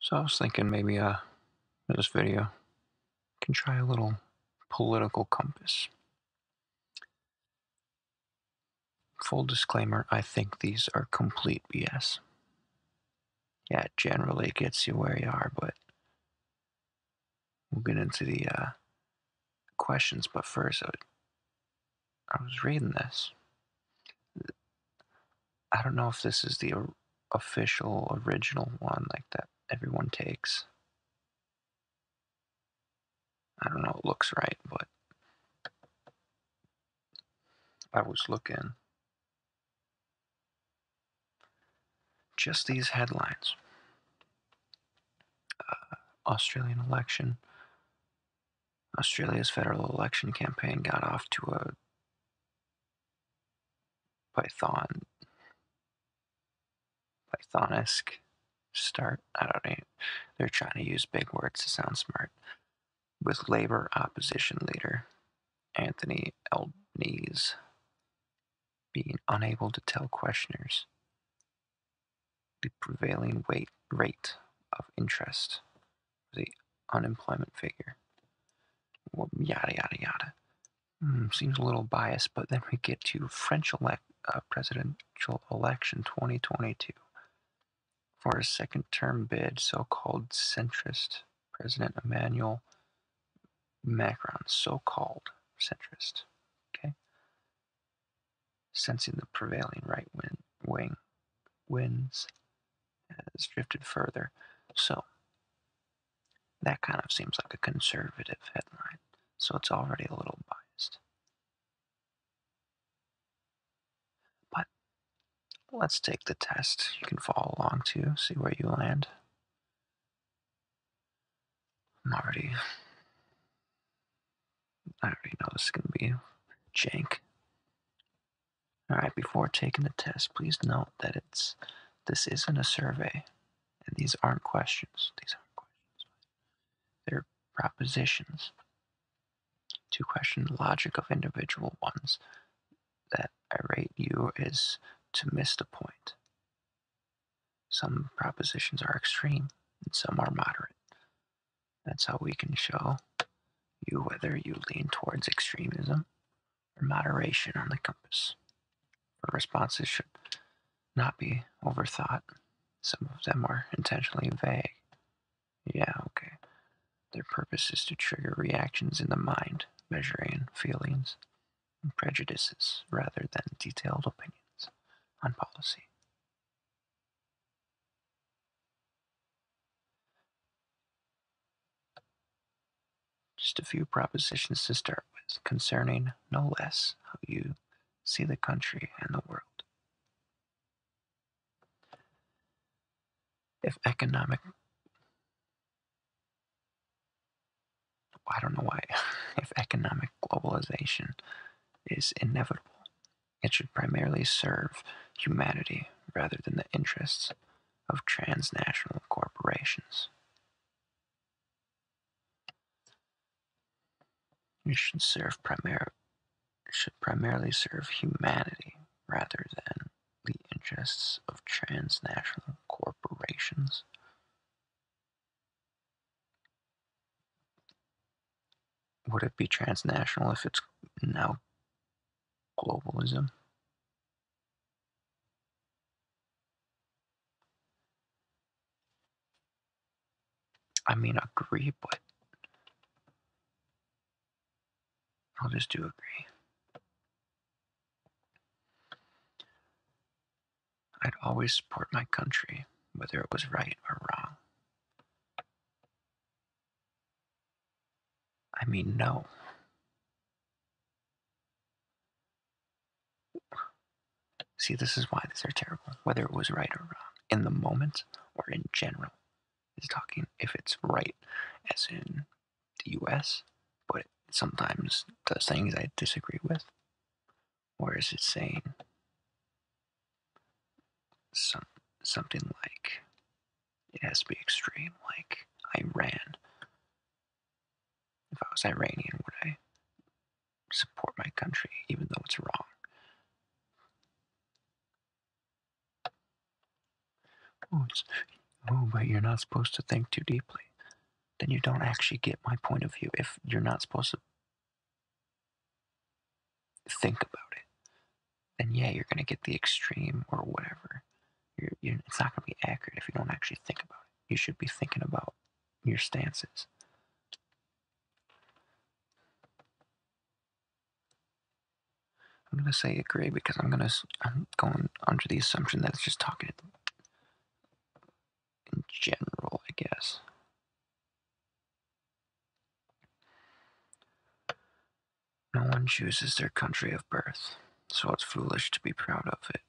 So I was thinking maybe in uh, this video, can try a little political compass. Full disclaimer, I think these are complete BS. Yeah, generally gets you where you are, but we'll get into the uh, questions, but first, I was reading this. I don't know if this is the official original one like that everyone takes. I don't know, it looks right, but I was looking. Just these headlines uh, Australian election Australia's federal election campaign got off to a Python Pythonesque start. I don't know. They're trying to use big words to sound smart. With Labour opposition leader Anthony Albanese being unable to tell questioners the prevailing weight, rate of interest was the unemployment figure. Well, yada, yada, yada. Hmm, seems a little biased, but then we get to French elect, uh, presidential election 2022 for a second term bid, so called centrist President Emmanuel Macron, so called centrist. Okay sensing the prevailing right wing winds has drifted further. So that kind of seems like a conservative headline. So it's already a little biased. But let's take the test. You can follow along too, see where you land. Marty. I already know this is going to be jank. Alright, before taking the test, please note that it's this isn't a survey, and these aren't questions. These aren't questions. They're propositions to question the logic of individual ones that irate you is to miss the point. Some propositions are extreme, and some are moderate. That's how we can show you whether you lean towards extremism or moderation on the compass. Our responses should not be overthought. Some of them are intentionally vague. Yeah, okay. Their purpose is to trigger reactions in the mind, measuring feelings and prejudices rather than detailed opinions on policy. Just a few propositions to start with concerning, no less, how you see the country and the world. If economic I don't know why, if economic globalization is inevitable, it should primarily serve humanity rather than the interests of transnational corporations. It should serve primar- should primarily serve humanity rather than the interests of transnational corporations. Would it be transnational if it's now globalism? I mean, agree, but I'll just do agree. I'd always support my country, whether it was right or wrong. I mean, no. See, this is why these are terrible, whether it was right or wrong, in the moment or in general. Is talking if it's right, as in the US, but sometimes does things I disagree with or is it saying some, something like it has to be extreme, like Iran? If I was Iranian, would I support my country even though it's wrong? Oh, oh, but you're not supposed to think too deeply. Then you don't actually get my point of view. If you're not supposed to think about it, then yeah, you're gonna get the extreme or whatever. You're, it's not gonna be accurate if you don't actually think about it. You should be thinking about your stances. I'm gonna say agree because I'm gonna I'm going under the assumption that it's just talking in general, I guess. No one chooses their country of birth, so it's foolish to be proud of it.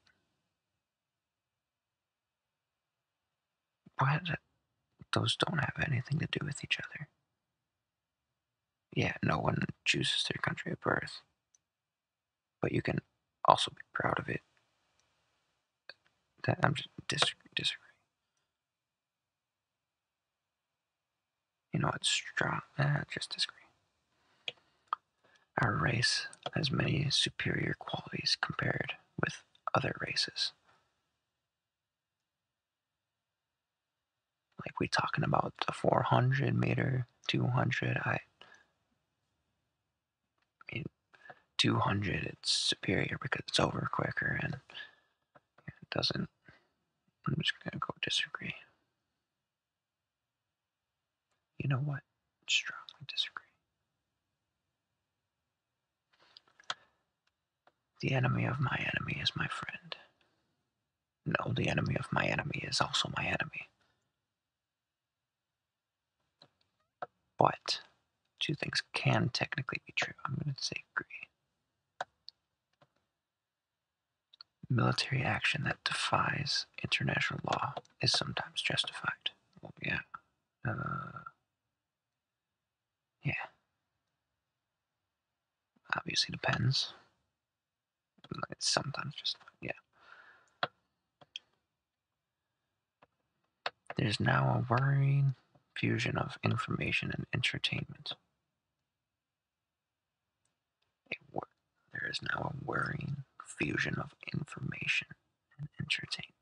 But Those don't have anything to do with each other. Yeah, no one chooses their country of birth, but you can also be proud of it that I'm just dis disagreeing. You know, it's strong. Eh, ah, just disagree. Our race has many superior qualities compared with other races. Like we talking about the 400 meter, 200. I I 200 it's superior because it's over quicker and it doesn't. I'm just gonna go disagree. You know what? Strongly disagree. The enemy of my enemy is my friend. No, the enemy of my enemy is also my enemy. But two things can technically be true. I'm going to say agree. Military action that defies international law is sometimes justified. yeah. Uh, yeah. Obviously depends. sometimes just, yeah. There's now a worrying fusion of information and entertainment. there is now a worrying fusion of information and entertainment.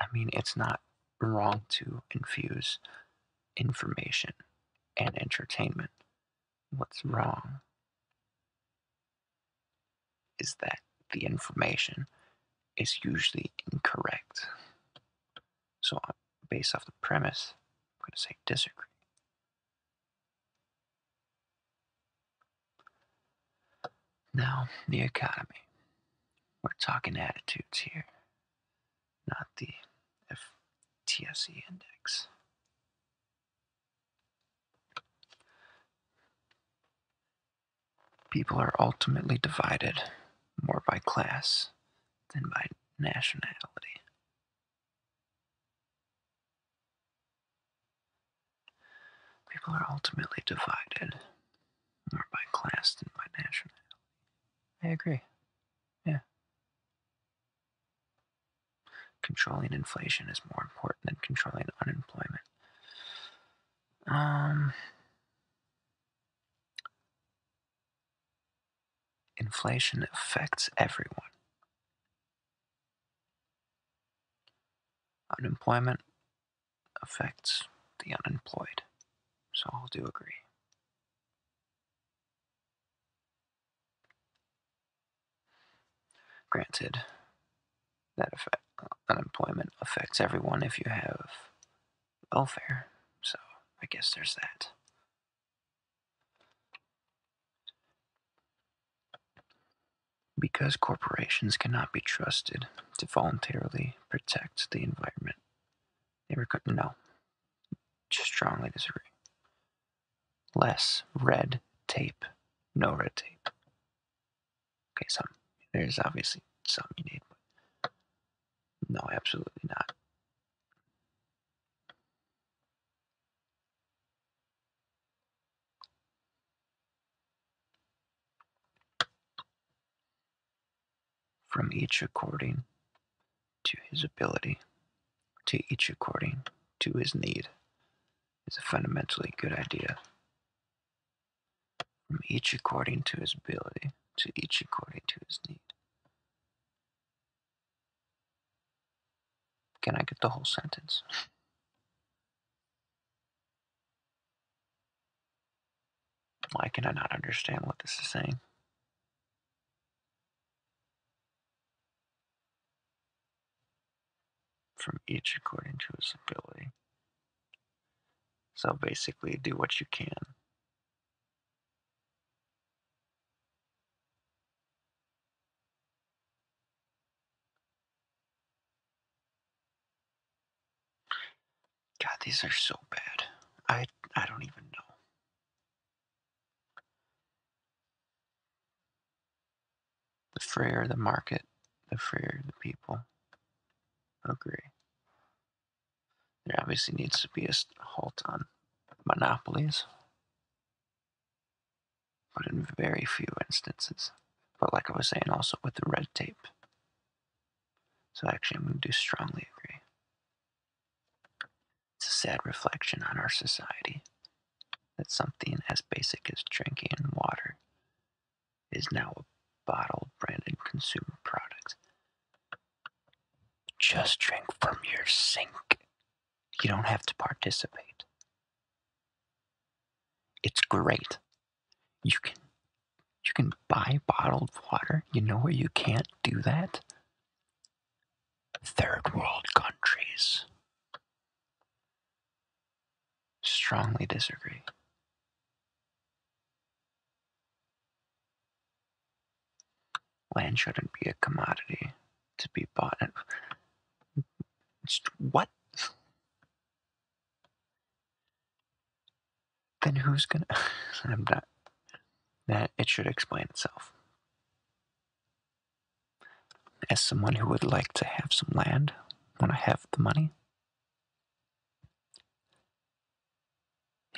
I mean, it's not wrong to infuse information and entertainment. What's wrong is that the information is usually incorrect. So, uh, based off the premise, I'm going to say disagree. Now, the economy. We're talking attitudes here, not the FTSE index. People are ultimately divided more by class than by nationality. People are ultimately divided more by class than by nationality. I agree. Yeah. Controlling inflation is more important than controlling unemployment. Um, inflation affects everyone. Unemployment affects the unemployed. So i do agree. Granted, that unemployment affects everyone if you have welfare, so I guess there's that. Because corporations cannot be trusted to voluntarily protect the environment, they were no. Strongly disagree. Less red tape. No red tape. Okay, some. There's obviously some you need. no, absolutely not. From each according to his ability, to each according to his need is a fundamentally good idea. From each according to his ability, to each according to his need. Can I get the whole sentence? Why can I not understand what this is saying? from each according to his ability. So basically, do what you can. God, these are so bad. I I don't even know. The freer the market, the freer the people. Agree. There obviously needs to be a halt on monopolies, but in very few instances. But like I was saying, also with the red tape. So actually, I'm going to do strongly agree. It's a sad reflection on our society that something as basic as drinking water is now a bottle branded consumer product. Just drink from your sink. You don't have to participate. It's great. You can you can buy bottled water. You know where you can't do that? Third world countries. Strongly disagree. Land shouldn't be a commodity to be bought. At. What? Then who's gonna? I'm not. That it should explain itself. As someone who would like to have some land when I have the money.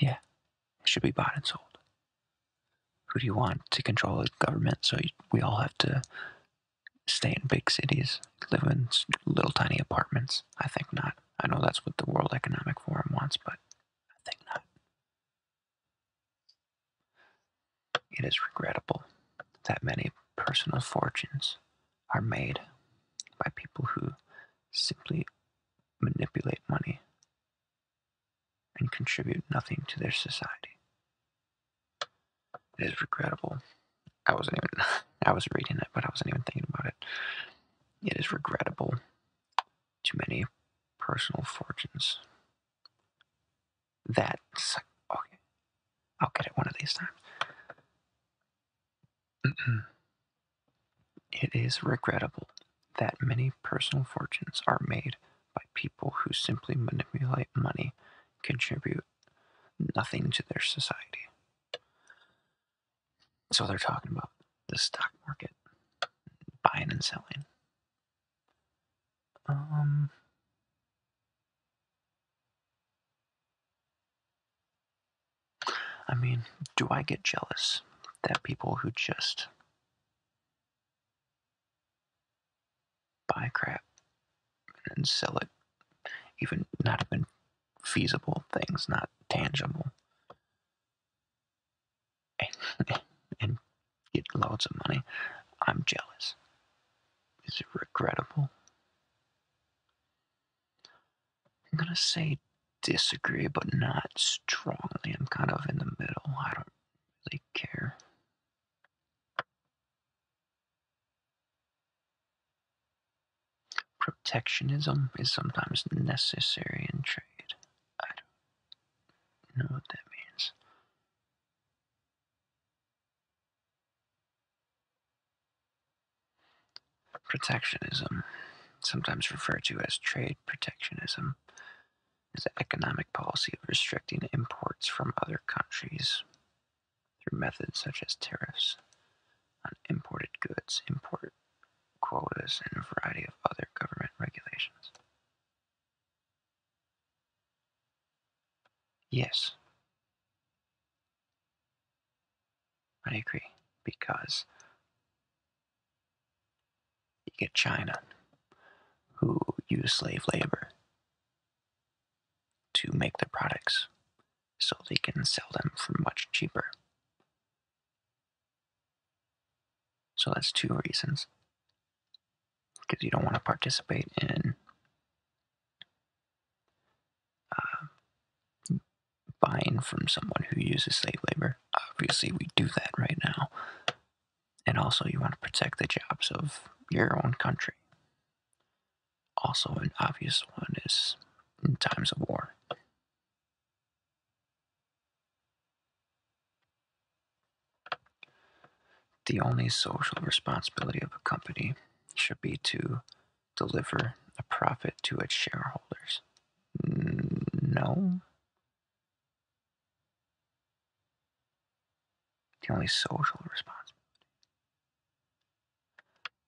Yeah, it should be bought and sold. Who do you want to control the government so we all have to stay in big cities, live in little tiny apartments? I think not. I know that's what the World Economic Forum wants, but I think not. It is regrettable that many personal fortunes are made by people who simply manipulate money and contribute nothing to their society. It is regrettable. I wasn't even I was reading it, but I wasn't even thinking about it. It is regrettable Too many personal fortunes that's okay. I'll get it one of these times. it is regrettable that many personal fortunes are made by people who simply manipulate money, contribute nothing to their society. So they're talking about the stock market, buying and selling. Um, I mean, do I get jealous that people who just buy crap and sell it, even not even feasible things, not tangible, get loads of money. I'm jealous. Is it regrettable? I'm gonna say disagree, but not strongly. I'm kind of in the middle. I don't really care. Protectionism is sometimes necessary in trade. I don't know what that means. Protectionism, sometimes referred to as trade protectionism, is an economic policy of restricting imports from other countries through methods such as tariffs on imported goods, import quotas, and a variety of other government regulations. Yes. I agree, because you get China, who use slave labor to make their products so they can sell them for much cheaper. So that's two reasons because you don't want to participate in uh, buying from someone who uses slave labor. Obviously, we do that right now. And also, you want to protect the jobs of your own country. Also, an obvious one is in times of war. The only social responsibility of a company should be to deliver a profit to its shareholders. No. The only social responsibility.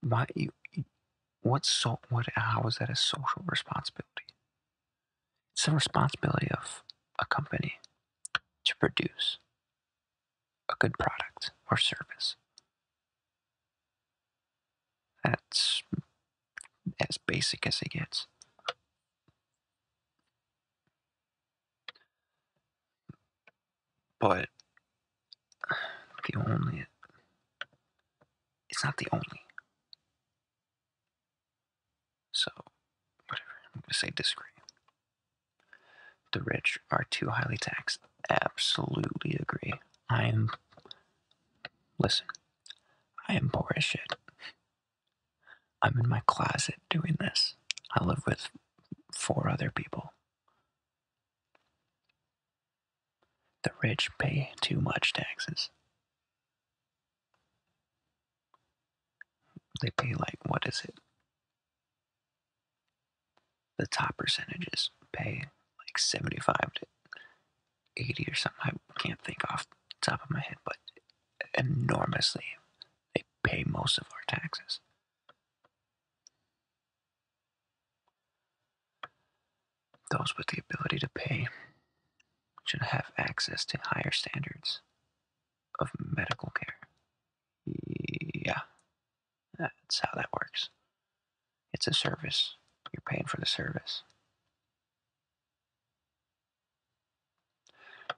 Why you? What so? What? How is that a social responsibility? It's the responsibility of a company to produce a good product or service. That's as basic as it gets. But the only, it's not the only. So, whatever, I'm going to say disagree. The rich are too highly taxed. Absolutely agree. I am. Listen, I am poor as shit. I'm in my closet doing this. I live with four other people. The rich pay too much taxes. They pay like, what is it? The top percentages pay like 75 to 80 or something. I can't think off top of my head, but enormously, they pay most of our taxes. Those with the ability to pay should have access to higher standards of medical care. Yeah, that's how that works. It's a service. You're paying for the service.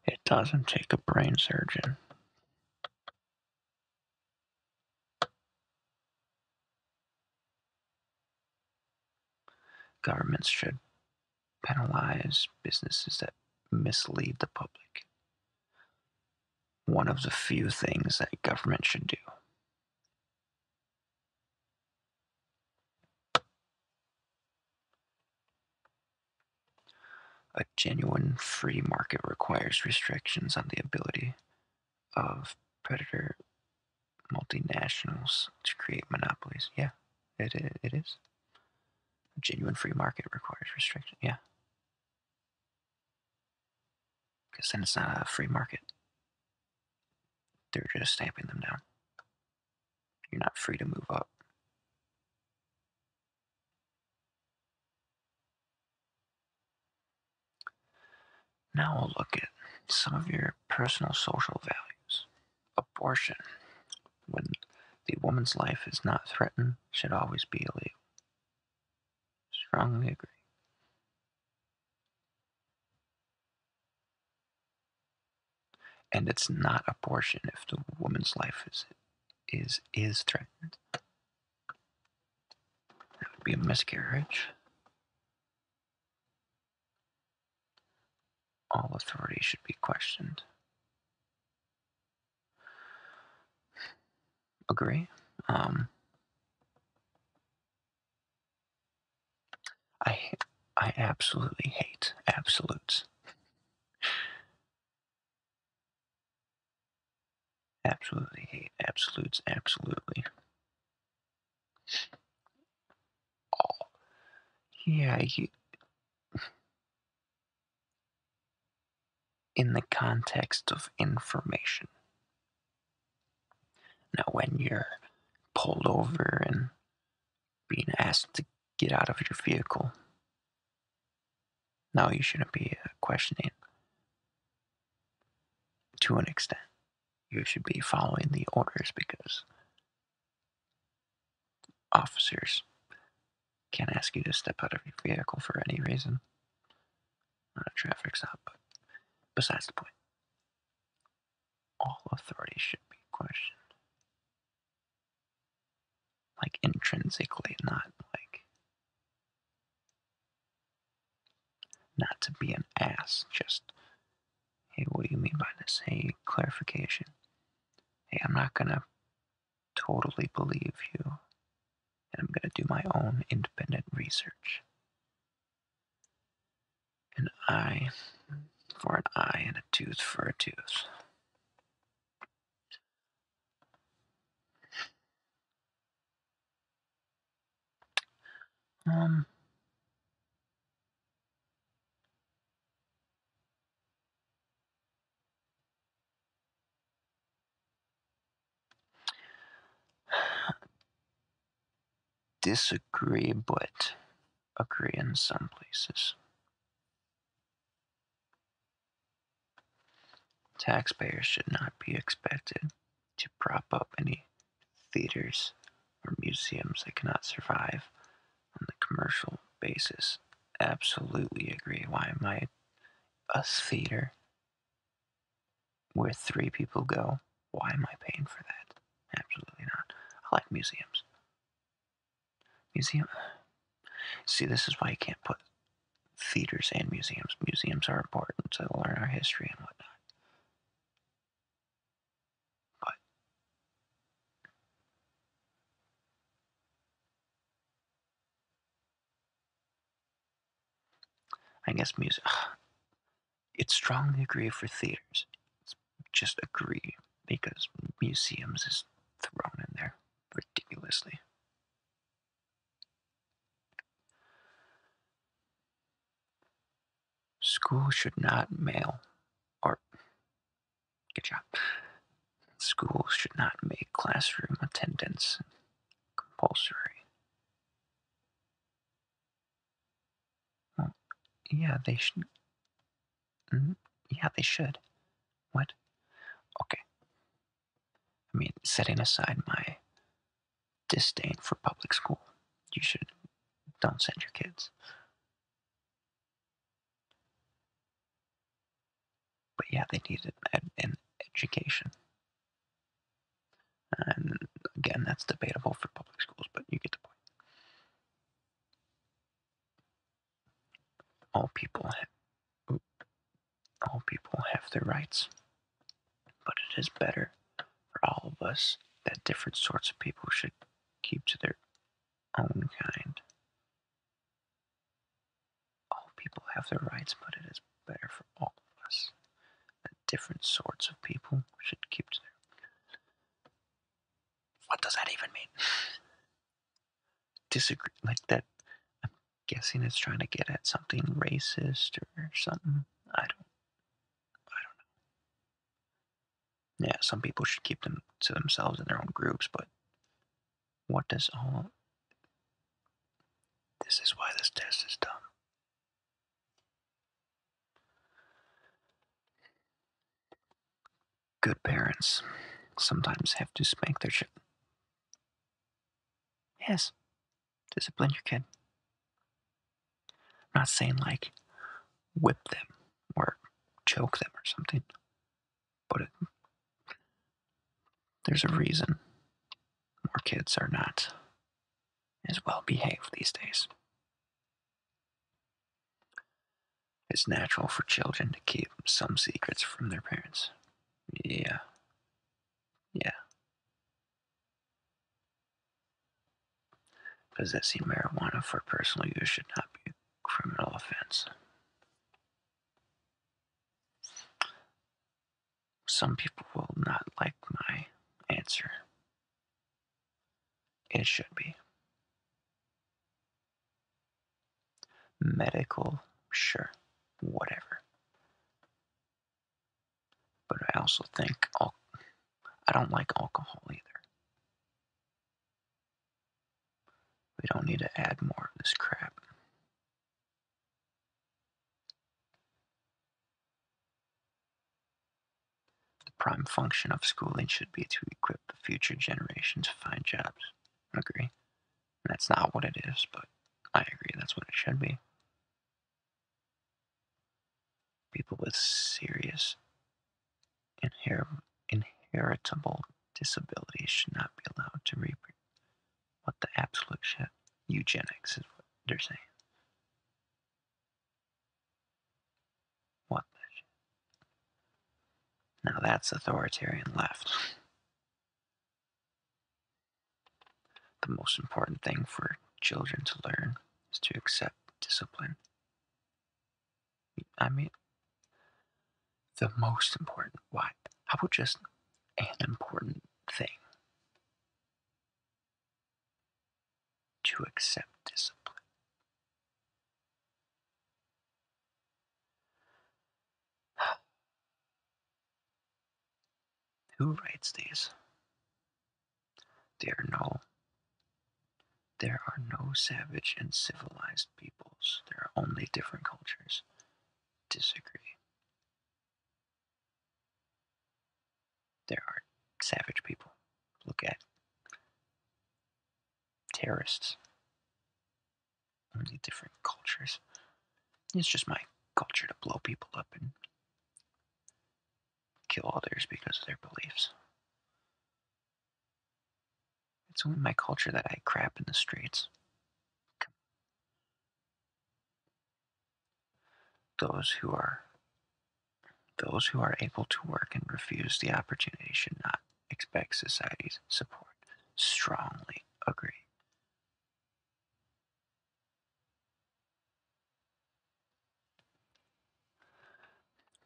It doesn't take a brain surgeon. Governments should penalize businesses that mislead the public. One of the few things that government should do. A genuine free market requires restrictions on the ability of predator multinationals to create monopolies. Yeah, it, it is. A genuine free market requires restriction. Yeah. Because then it's not a free market. They're just stamping them down. You're not free to move up. Now we'll look at some of your personal social values abortion, when the woman's life is not threatened, should always be illegal. Strongly agree. And it's not abortion if the woman's life is is is threatened. That would be a miscarriage. All authority should be questioned. Agree. Um, I I absolutely hate absolutes. absolutely hate absolutes. Absolutely. Oh, yeah. You, in the context of information. Now, when you're pulled over and being asked to get out of your vehicle, now you shouldn't be uh, questioning to an extent. You should be following the orders because Officers, can't ask you to step out of your vehicle for any reason. Not a traffic stop, besides the point. All authority should be questioned. Like intrinsically, not like. Not to be an ass, just, hey, what do you mean by this? Hey, clarification hey, I'm not gonna totally believe you, and I'm gonna do my own independent research. An eye for an eye and a tooth for a tooth. Um, Disagree, but agree in some places. Taxpayers should not be expected to prop up any theaters or museums that cannot survive on the commercial basis. Absolutely agree. Why am I a theater where three people go? Why am I paying for that? Absolutely not. I like museums. Museum. See, this is why you can't put theaters and museums. Museums are important to learn our history and whatnot. I guess music. It's strongly agree for theaters. It's just agree because museums is thrown in there ridiculously. School should not mail art. Good job. Schools should not make classroom attendance compulsory. Well, yeah, they should. Mm-hmm. yeah, they should. What? Okay. I mean, setting aside my disdain for public school, you should don't send your kids. But yeah, they need an, education. And again, that's debatable for public schools, but you get the point. All people all people have their rights, but it is better for all of us that different sorts of people should keep to their own kind. All people have their rights, but it is better for all of us that different sorts of people should keep What does that even mean? Disagree like that. I'm guessing it's trying to get at something racist or something. I don't. I don't know yeah, some people should keep them to themselves in their own groups, but what does all. This is why this test is done. Good parents sometimes have to spank their children. Yes, discipline your kid. I'm not saying like whip them or choke them or something. But it, there's a reason more kids are not as well behaved these days. It's natural for children to keep some secrets from their parents. Yeah. Yeah. Possessing marijuana for personal use should not be criminal offense. Some people will not like my answer. It should be. Medical, sure, whatever. But I also think I don't like alcohol either. We don't need to add more of this crap. The prime function of schooling should be to equip the future generations to find jobs. I agree. That's not what it is, but I agree that's what it should be. People with serious inheritable disabilities should not be allowed to reproduce. What the absolute shit. Eugenics is what they're saying. What the shit. Now that's authoritarian left. The most important thing for children to learn is to accept discipline. I mean, the most important. Why? How about just an important thing? To accept discipline. Who writes these? Dear Noel, there are no savage and civilized peoples. There are only different cultures. Disagree. There are savage people. Look at terrorists. Only different cultures. It's just my culture to blow people up and kill others because of their beliefs. It's only my culture that I crap in the streets. Those who are those who are able to work and refuse the opportunity should not expect society's support. Strongly agree.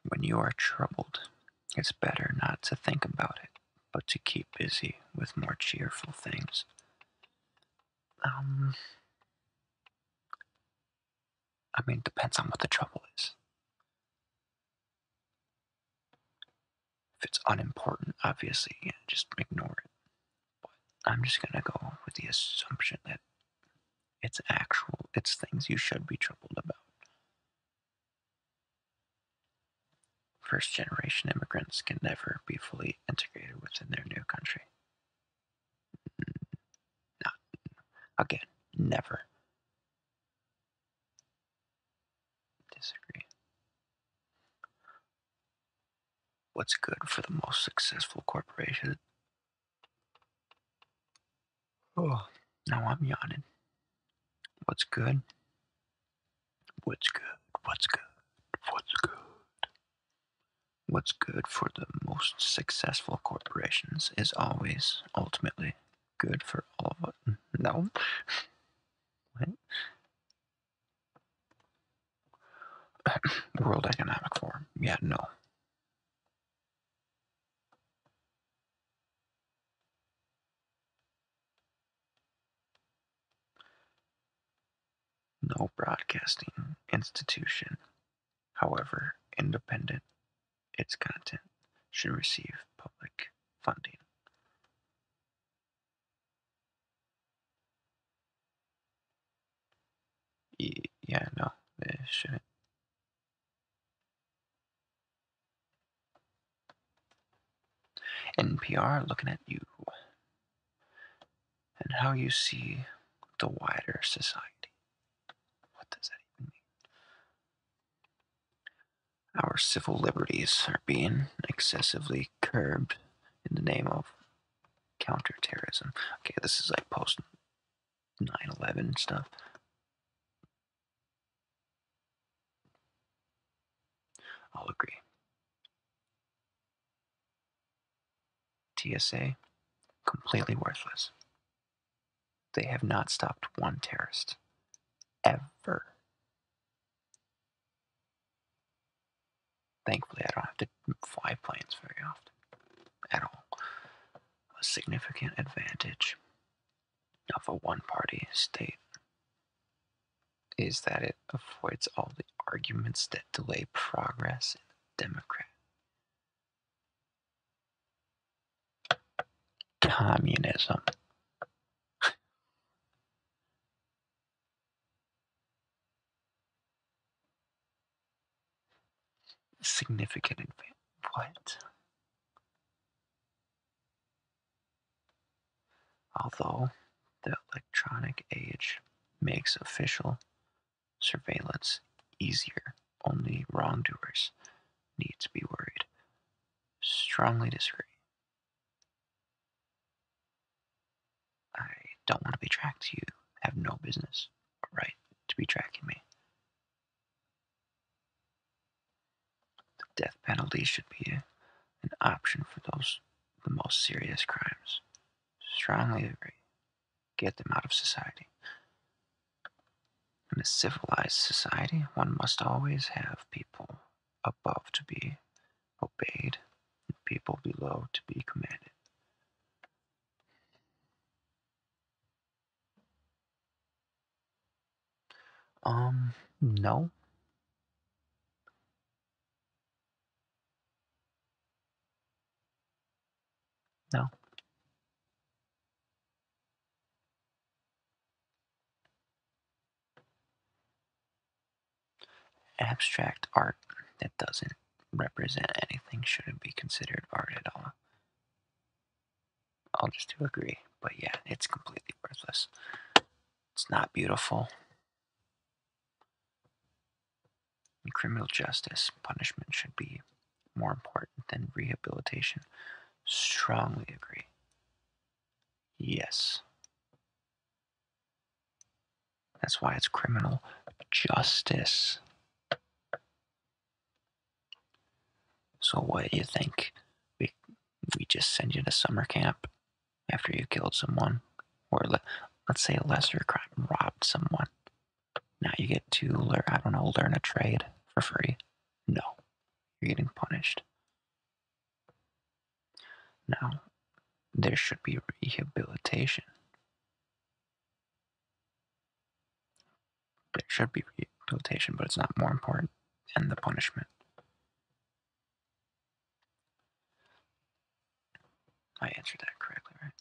When you are troubled, it's better not to think about it, but to keep busy with more cheerful things. Um, I mean, it depends on what the trouble is. If it's unimportant, obviously, just ignore it. But I'm just gonna go with the assumption that it's actual, it's things you should be troubled about. First generation immigrants can never be fully integrated within their new country. Not, again, never. Disagree. What's good for the most successful corporation Oh, now I'm yawning. What's good? What's good? What's good? What's good? What's good for the most successful corporations is always ultimately good for all of us. No. what? World Economic Forum. Yeah, no. No broadcasting institution, however independent its content, should receive public funding. Yeah, no, they shouldn't. NPR looking at you and how you see the wider society. What does that even mean? Our civil liberties are being excessively curbed in the name of counterterrorism. Okay, this is like post 9 11 stuff. I'll agree. TSA, completely worthless. They have not stopped one terrorist. Ever. Thankfully, I don't have to fly planes very often. At all a significant advantage of a one party state is that it avoids all the arguments that delay progress in the Democrat. Communism significant advantage. What? Although the electronic age makes official surveillance easier, only wrongdoers need to be worried. Strongly disagree. I don't want to be tracked. You have no business or right to be tracking me. The death penalty should be an option for those the most serious crimes. Strongly agree. Get them out of society. In a civilized society, one must always have people above to be obeyed and people below to be commanded. Um, no. No. Abstract art that doesn't represent anything shouldn't be considered art at all. I'll just do agree. But yeah, it's completely worthless. It's not beautiful. criminal justice, punishment should be more important than rehabilitation. Strongly agree. Yes. That's why it's criminal justice. So what do you think? We we just send you to summer camp after you killed someone, or let, let's say a lesser crime, robbed someone. Now you get to learn I don't know learn a trade for free. No, you're getting punished. Now there should be rehabilitation. There should be rehabilitation, but it's not more important than the punishment. I answered that correctly, right?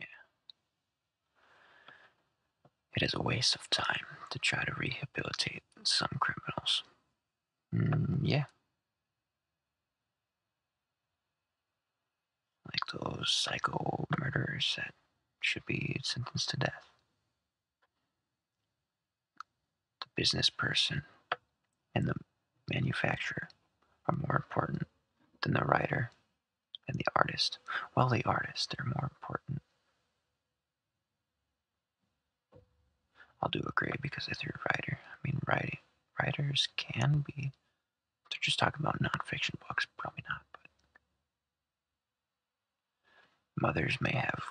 Yeah. It is a waste of time to try to rehabilitate some criminals. Mm, yeah like those psycho murderers that should be sentenced to death. The business person and the manufacturer are more important than the writer and the artist. While the artist, are more important. I'll do agree because if you're a writer, I mean, writing, writers can be, they're just talking about nonfiction books, probably not, but Mothers may have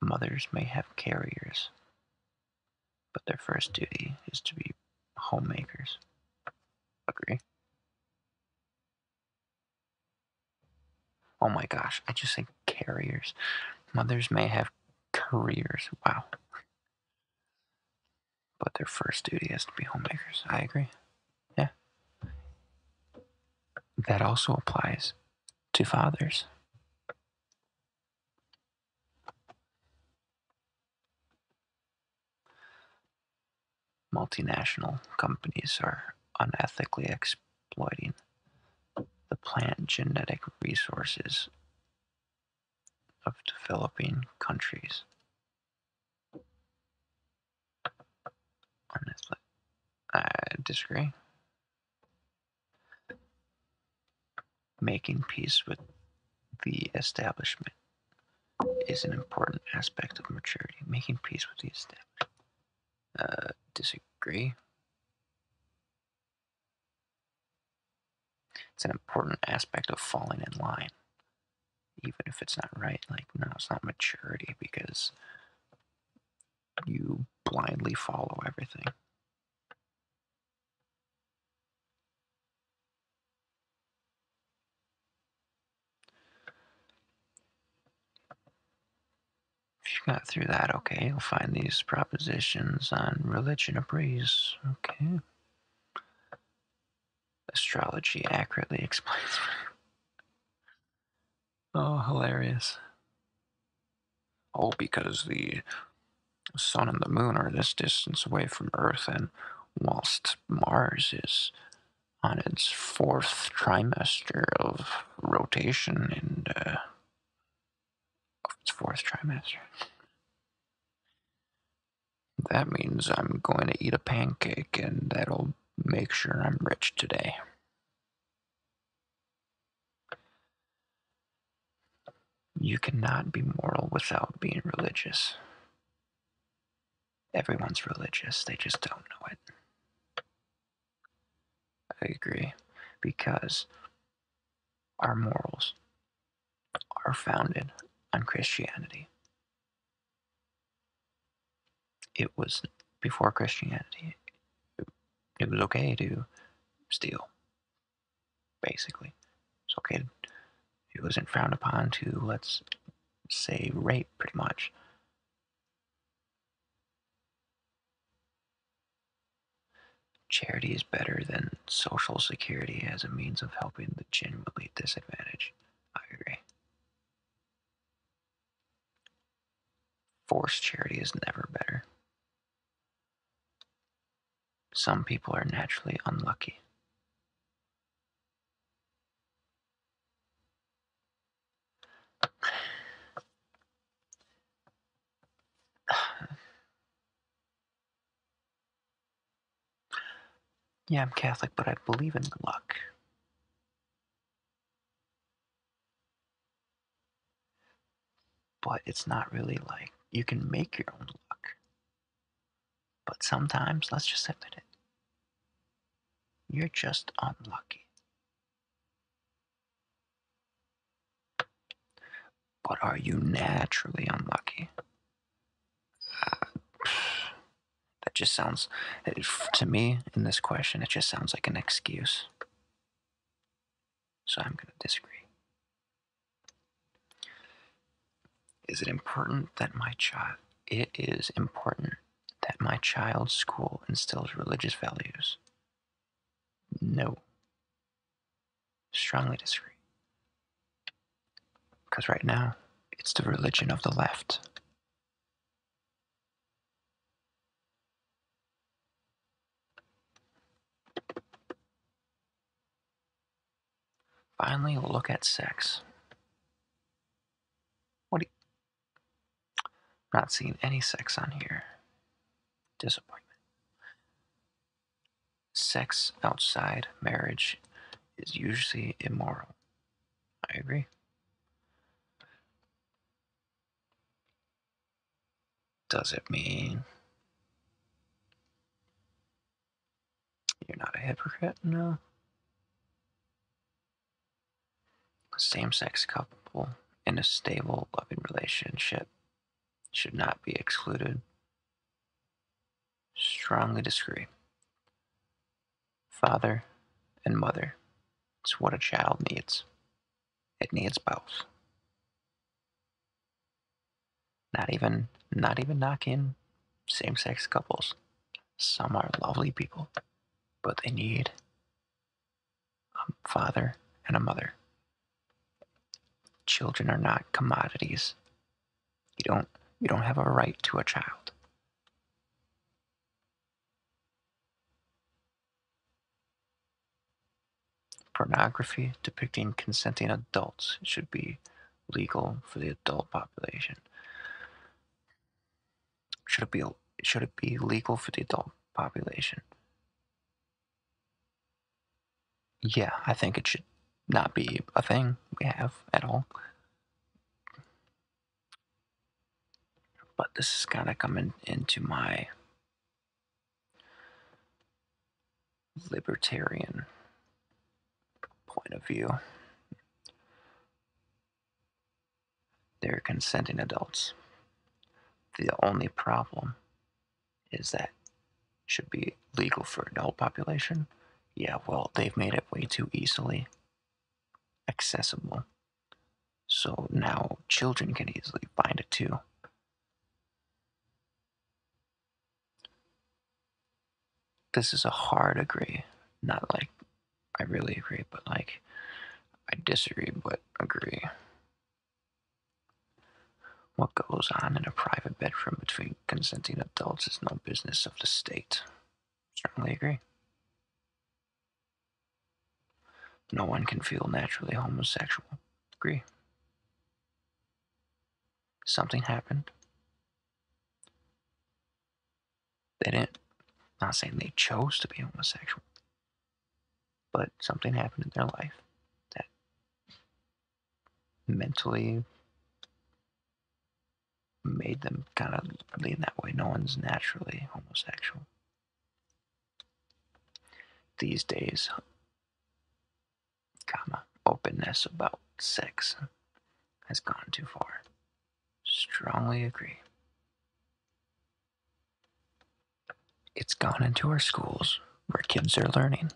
mothers may have carriers, but their first duty is to be homemakers. Agree? Oh my gosh, I just said carriers. Mothers may have careers. Wow. But their first duty is to be homemakers. I agree. Yeah. That also applies to fathers. Multinational companies are unethically exploiting the plant genetic resources of developing countries I disagree. Making peace with the establishment is an important aspect of maturity. Making peace with the establishment. I uh, disagree. It's an important aspect of falling in line even if it's not right. Like, no, it's not maturity because you blindly follow everything. If you got through that, okay, you'll find these propositions on religion a breeze. Okay astrology accurately explains. oh, hilarious. Oh, because the sun and the moon are this distance away from Earth, and whilst Mars is on its fourth trimester of rotation and uh, its fourth trimester. That means I'm going to eat a pancake, and that'll make sure I'm rich today. You cannot be moral without being religious. Everyone's religious, they just don't know it. I agree, because our morals are founded on Christianity. It was before Christianity. It was okay to steal, basically. It's okay. It wasn't frowned upon to, let's say, rape, pretty much. Charity is better than social security as a means of helping the genuinely disadvantaged. I agree. Forced charity is never better. Some people are naturally unlucky. Yeah, I'm Catholic, but I believe in luck. But it's not really like you can make your own luck. But sometimes, let's just admit it, you're just unlucky. But are you naturally unlucky? That just sounds, to me, in this question, it just sounds like an excuse. So I'm going to disagree. Is it important that my child? It is important that my child's school instills religious values. No. Strongly disagree. Because right now, it's the religion of the left. Finally, we'll look at sex. What? You... Not seeing any sex on here. Disappointment sex outside marriage is usually immoral. I agree. Does it mean you're not a hypocrite? No. Same sex couple in a stable, loving relationship should not be excluded Strongly disagree. Father and mother. It's what a child needs. It needs both. Not even not even knock in, same sex couples. Some are lovely people, but they need a father and a mother. Children are not commodities you don't you don't have a right to a child. Pornography depicting consenting adults should be legal for the adult population. Should it be should it be legal for the adult population? yeah, I think it should not be a thing we have at all. But this is kind of coming into my libertarian point of view. They're consenting adults. The only problem is that should be legal for adult population. Yeah, well, they've made it way too easily accessible. So now children can easily find it too. This is a hard agree. Not like I really agree, but like I disagree but agree. What goes on in a private bedroom between consenting adults is no business of the state. Certainly agree. No one can feel naturally homosexual. Agree. Something happened. They didn't, not saying they chose to be homosexual, but something happened in their life that mentally made them kind of lean that way. No one's naturally homosexual. These days, comma, openness about sex has gone too far. Strongly agree. It's gone into our schools where kids are learning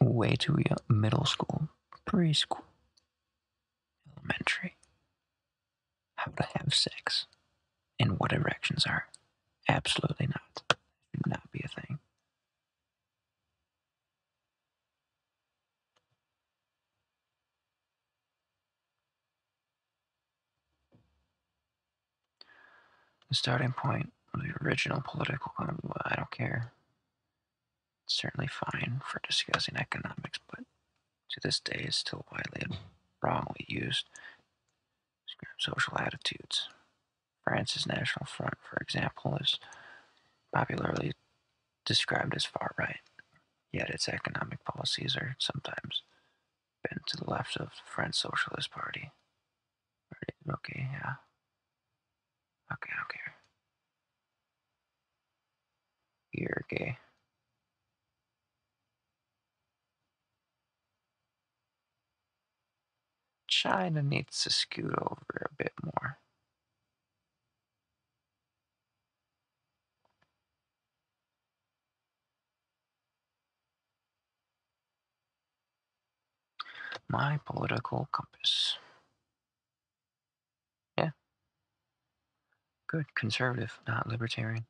way too middle school, preschool, elementary. How to have sex and what erections are. Absolutely not. That should not be a thing. The starting point of the original political I don't care. certainly fine for discussing economics, but to this day is still widely and wrongly used social attitudes. France's National Front, for example, is popularly described as far right, yet its economic policies are sometimes bent to the left of the French Socialist Party. Okay, yeah. Okay, I You're gay. China needs to scoot over a bit more. My political compass. Yeah. Good conservative, not libertarian.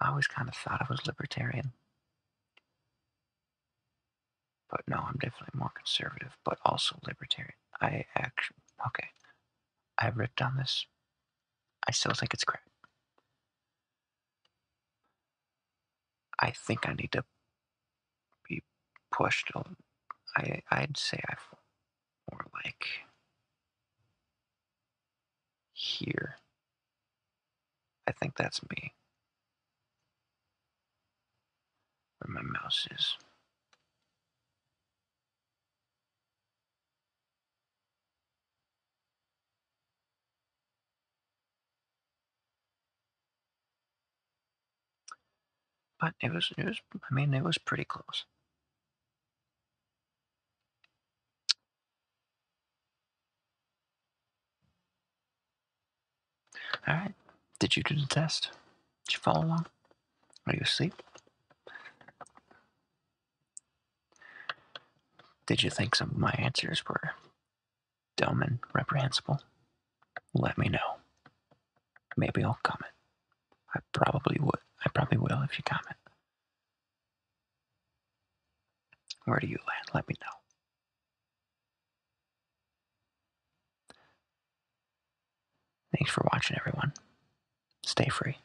I always kind of thought I was libertarian. But no, I'm definitely more conservative, but also libertarian. I actually, okay. I ripped on this. I still think it's crap. I think I need to be pushed. I I'd say I more like here. I think that's me. Where my mouse is. But it was, it was, I mean, it was pretty close. All right. Did you do the test? Did you follow along? Are you asleep? Did you think some of my answers were dumb and reprehensible, let me know. Maybe I'll comment. I probably would. I probably will if you comment. Where do you land? Let me know. Thanks for watching, everyone. Stay free.